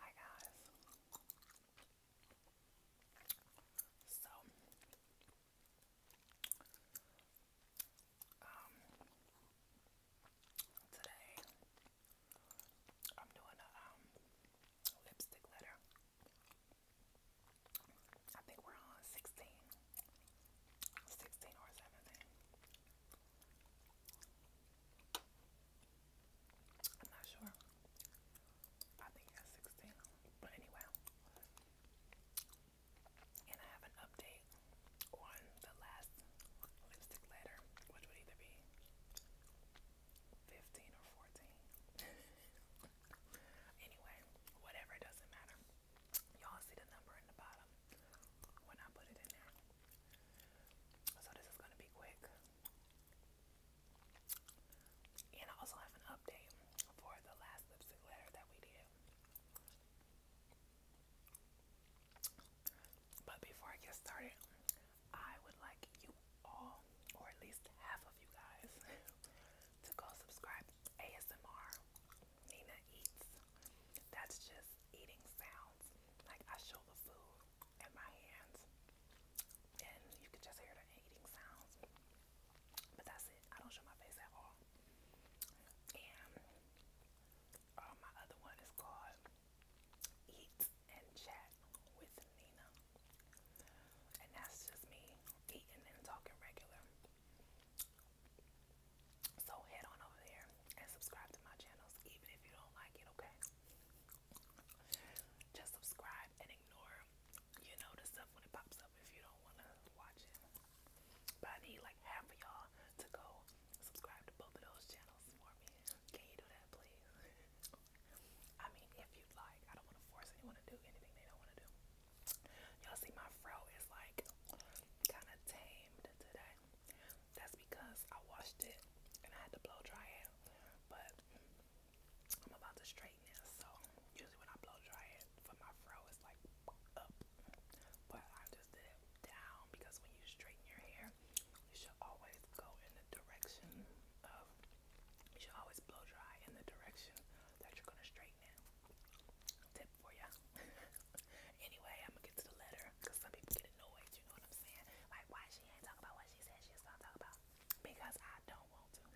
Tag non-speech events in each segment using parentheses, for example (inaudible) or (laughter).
Hi guys. So um today I'm doing a um lipstick letter. I think we're on 16. 16 or 17. I'm not sure. I think that's 16. But anyway, and I have an update on the last lipstick letter, which would either be 15 or 14. (laughs) anyway, whatever, it doesn't matter. Y'all see the number in the bottom when I put it in there. So this is going to be quick. And I also have an update for the last lipstick letter that we did. But before I get started, I would like you all, or at least half of you guys, (laughs) to go subscribe ASMR Nina Eats. That's just eating sounds. Like I show the food in my hands and you can just hear the eating sounds. But that's it. I don't show my face at all. And uh, my other one is called Eat and Chat with Nina. And that's just me eating and talking regular. So head on over there and subscribe to my channels, even if you don't like it, okay? Just subscribe and ignore, you know, the stuff when it pops up if you don't want to watch it. But I need like half of y'all to go subscribe to both of those channels for me. Can you do that, please? (laughs) I mean, if you'd like, I don't want to force anyone to do anything they don't want to do. Y'all see, my fro is like kind of tamed today. That's because I washed it and I had to blow dry it. But I'm about to straighten it, so usually when I blow dry it for my fro, it's like up. But I just did it down because when you straighten your hair, you should always go in the direction of, you should always blow dry in the direction that you're going to straighten. Tip for ya. (laughs) anyway, I'm gonna get to the letter because some people get annoyed. You know what I'm saying? Like, why she ain't talking about what she said she's going talk about? Because I don't want to.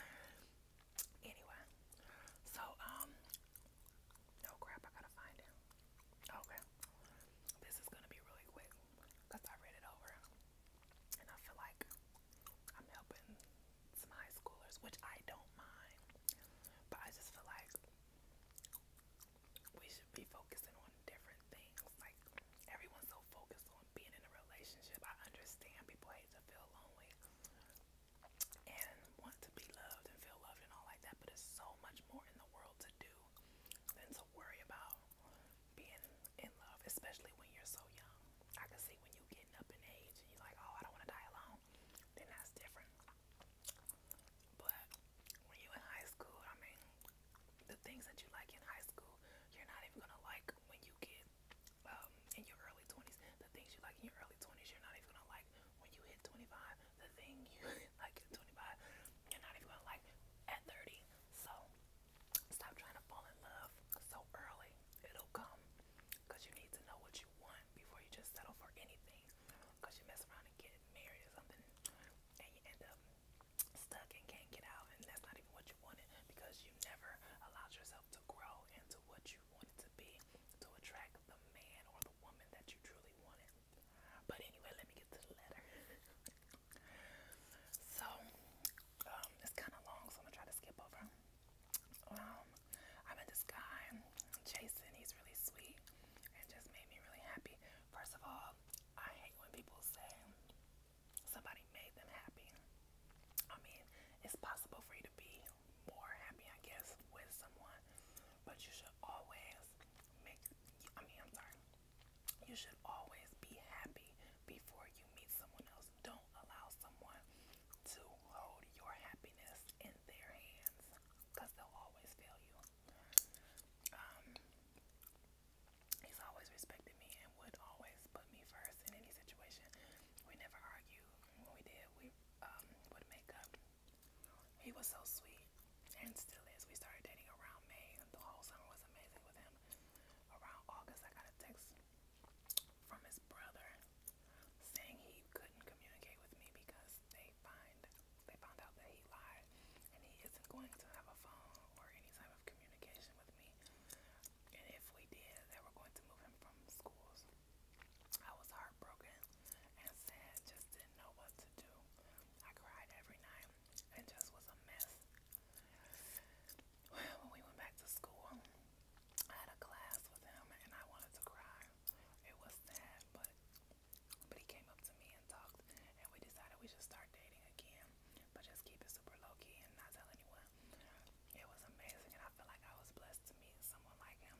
(laughs) anyway, so um, no oh crap. I gotta find it. Okay, this is gonna be really quick because I read it over and I feel like I'm helping some high schoolers, which I don't mind. But I just feel like we should be focusing on different things. Like everyone's so focused on being in a relationship. I understand people hate to feel lonely and want to be loved and feel loved and all like that, but it's so much more in the world to do than to worry about being in love, especially when you're so young. I can see when you are getting up in age and you're like, oh, I don't want to die alone now, then that's different. But when you in high school, I mean, the things that you like in high school, you're not even gonna like when you get um, in your early 20s. The things you like in your early 20s, you're not even gonna like when you hit 25. The thing (laughs) you like at 25, you're not even gonna like at 30. So stop trying to fall in love so early. It'll come because you need to know what you want before you just settle for anything. Cause you mess around and get married or something, and you end up stuck and can't get out, and that's not even what you wanted because you never allowed yourself to grow into what you wanted to be to attract the man or the woman that you truly wanted. But anyway, let me get to the letter. (laughs) so um, it's kind of long, so I'm gonna try to skip over um, I met this guy, Jason. He's really sweet and just made me really happy. First of all, I hate when people say somebody made them happy. I mean, it's possible for you to be more happy, I guess, with someone, but you should always make, I mean, I'm sorry, you should always be happy before you meet someone else. Don't allow someone to hold your happiness in their hands because they'll always fail you. Um, he's always respected me and would always put me first in any situation. We never argued. When we did, we um, would make up. He was so sweet and still is. We started dating around May. The whole summer was amazing with him. Around August, I got a text from his brother saying he couldn't communicate with me because they find they found out that he lied and he isn't going to have a phone or any type of communication with me. And if we did, they were going to move him from schools. I was heartbroken and sad, just didn't know what to do. I cried every night and just was a mess. When we went back to school, I had a class with him and I wanted to cry. It was sad, but but he came up to me and talked and we decided we should start dating again. But just keep it super low key and not tell anyone. It was amazing and I feel like I was blessed to meet someone like him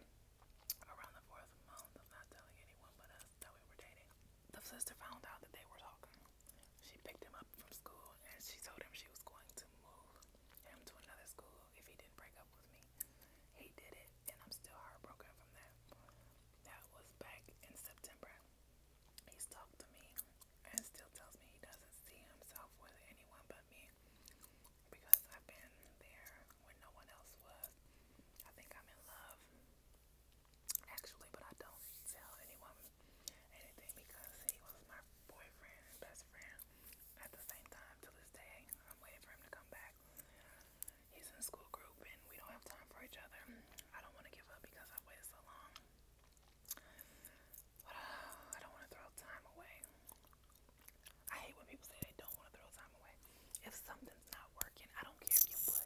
around the fourth month of not telling anyone but us that we were dating. The sister found out that they were talking. She picked him up from school and she told him she was going to move him to another school if he didn't break up with me. He did it, and I'm still heartbroken from that. That was back in September. He's talked to me and still tells me he doesn't see himself with anyone but me because I've been there when no one else was. I think I'm in love, actually, but I don't tell anyone anything because he was my boyfriend best friend at the same time to this day. I'm waiting for him to come back. He's in a school group and we don't have time for each other. I don't want to give up because I've waited so long. But uh, I don't want to throw time away. I hate when people say they don't want to throw time away. If something's not working, I don't care if you put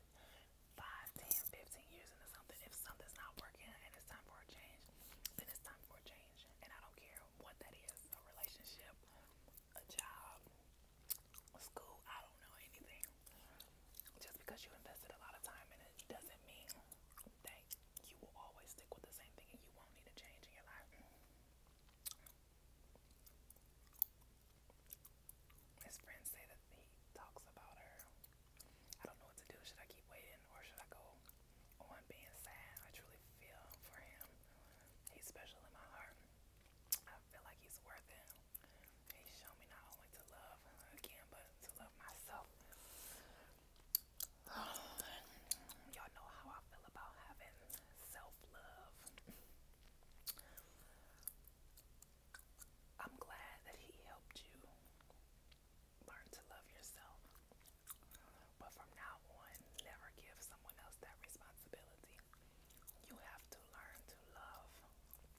5, 10, 15 years into something. If something's not working and it's time for a change, then it's time for a change. And I don't care what that is a relationship, a job, school, I don't know anything. Just because you invested a lot of time in it doesn't mean that you will always stick with the same thing and you won't need a change in your life. His friends say that he talks about her I don't know what to do. Should I keep waiting or should I go on being sad? I truly feel for him. He's special in my heart. I feel like he's worth it. He's shown me not only to love again, but to love myself. (sighs) Y'all know how I feel about having self-love. I'm glad that he helped you learn to love yourself. But from now on, never give someone else that responsibility. You have to learn to love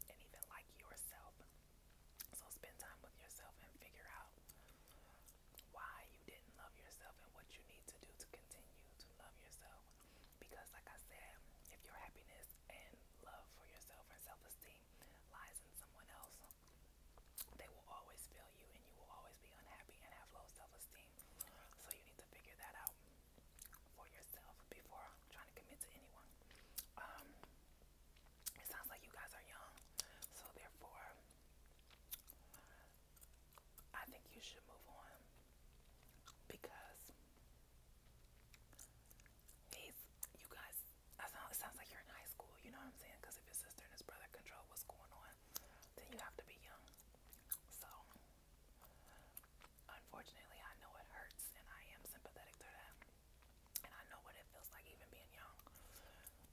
and even like yourself. So spend time with yourself and figure out why you didn't love yourself and what you need to do to continue to love yourself. Because, like I said, if your happiness and love for yourself and self esteem blame lies in someone else, they will always fail you and you will always be unhappy and have low self esteem. So you need to figure that out for yourself before trying to commit to anyone. Um, it sounds like you guys are young, so therefore, I think you should move on because He's, you guys, I sound, it sounds like you're in high school, you know what I'm saying? Because if his sister and his brother control what's going on, then you have to be young. So, unfortunately, I know it hurts, and I am sympathetic to that. And I know what it feels like even being young.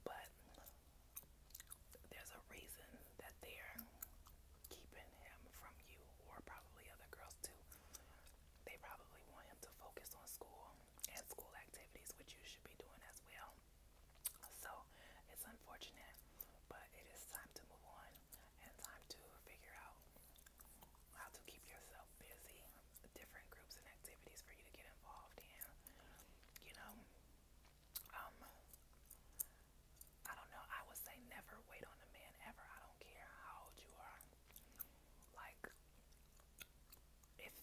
But there's a reason that they're keeping him from you, or probably other girls too they probably want him to focus on school and school activities, which you should be doing as well. So it's unfortunate, but it is time to move on and time to figure out how to keep yourself busy, different groups and activities for you to get involved in. You know, um, I don't know. I would say never wait on a man ever. I don't care how old you are. Like, if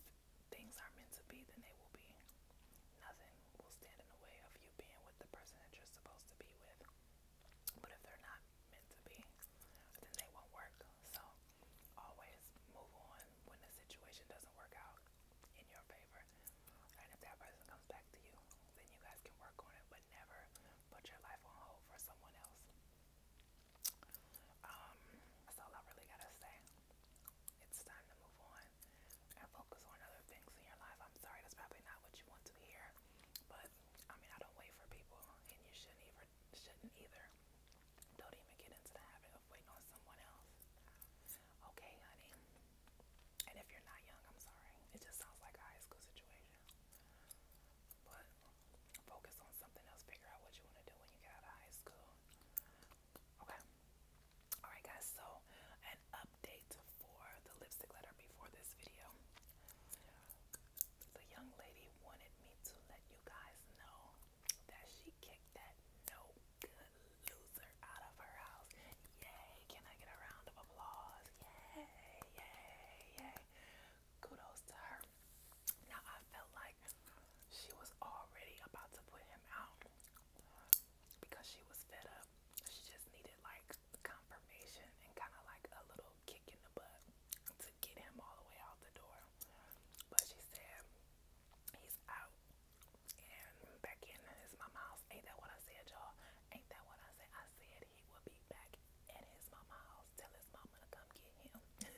things are meant to be, then they will be. Nothing will stand in the way of you being with the person that you're supposed to be with. But if they're not meant to be, then they won't work. So, always move on when the situation doesn't work out in your favor. And if that person comes back to you, then you guys can work on it never put your life on hold for someone else. Um, that's all I really gotta say. It's time to move on and focus on other things in your life. I'm sorry, that's probably not what you want to hear, but I mean, I don't wait for people, and you shouldn't shouldn't either. Don't even get into the habit of waiting on someone else. Okay, honey. And if you're not young, I'm sorry. It just sounds like a high school situation. But focus on something else. Figure out what you want to do when you get out of high school. Okay. Alright, guys. So, an update for the lipstick letter before this video. The young lady wanted me to let you guys know that she kicked that no good loser out of her house. Yay! Can I get a round of applause? Yay! Yay! kudos to her. Now I felt like she was already about to put him out because she was fed up. She just needed like confirmation and kind of like a little kick in the butt to get him all the way out the door. But she said he's out and back in his mom's house. Ain't that what I said, y'all? Ain't that what I said? I said said he would be back at his mama house, tell his mama to come get him. (laughs)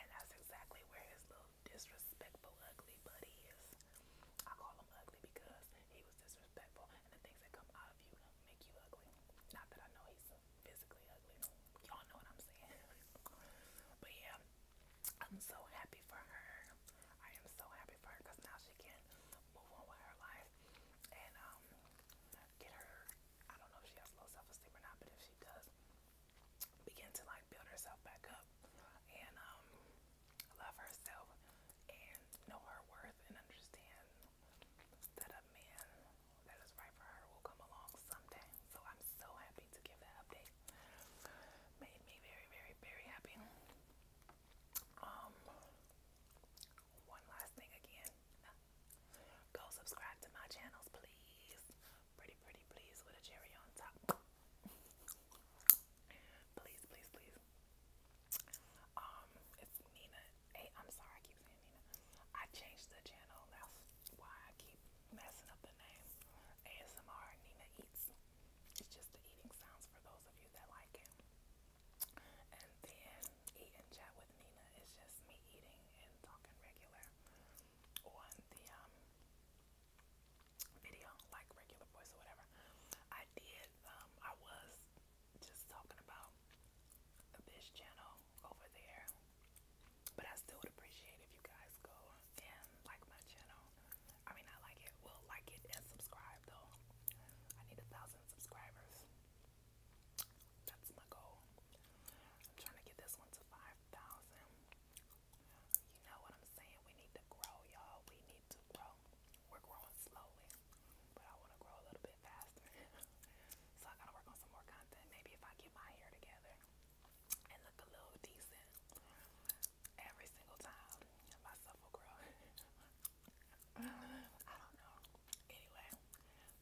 and that's exactly where his little disrespectful, ugly buddy is. I call him ugly because he was disrespectful, and the things that come out of you make you ugly. Not that I know he's physically ugly. Y'all know what I'm saying. (laughs) but yeah, I'm so happy for her. I am so happy for her because now she can move on with her life and um, get her I don't know if she has low self esteem or not, but if she does begin to like build herself back up and um, love herself and know her worth and understand that a man that is right for her will come along someday. So I'm so happy to give that update. Made me very, very, very happy. Um one last thing again. Go subscribe to my channels, please. Pretty, pretty, please, with a cherry on top. please, please, please. Um, it's Nina. Hey, I'm sorry, I keep saying Nina. I changed the channel. That's why I keep messing up the name. ASMR Nina Eats. It's just the eating sounds for those of you that like it. And then eat chat with Nina is just me eating and talking regular on the um, video, like regular voice or whatever. I did, um, I was just talking about this channel over there, but I still would appreciate if you guys go and like my channel I mean, I like it. Well, like it and subscribe though. I need a thousand subscribers. That's my goal. I'm trying to get this one to 5,000. You know what I'm saying? We need to grow, y'all. We need to grow. We're growing slowly, but I want to grow a little bit faster. (laughs) so I gotta work on some more content. Maybe if I get my hair together and look a little decent every single time, myself will grow. I don't know. Anyway,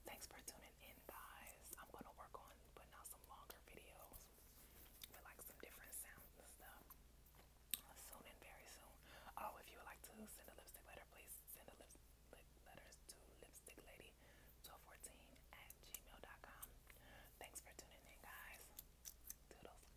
thanks for tuning in, guys. I'm gonna work on putting out some longer videos with like some different sounds and stuff soon and very soon. Oh, if you would like to send a lipstick letter, please send a lipstick letters to lipstick lady 1214 at gmail.com. Thanks for tuning in, guys. Toodles.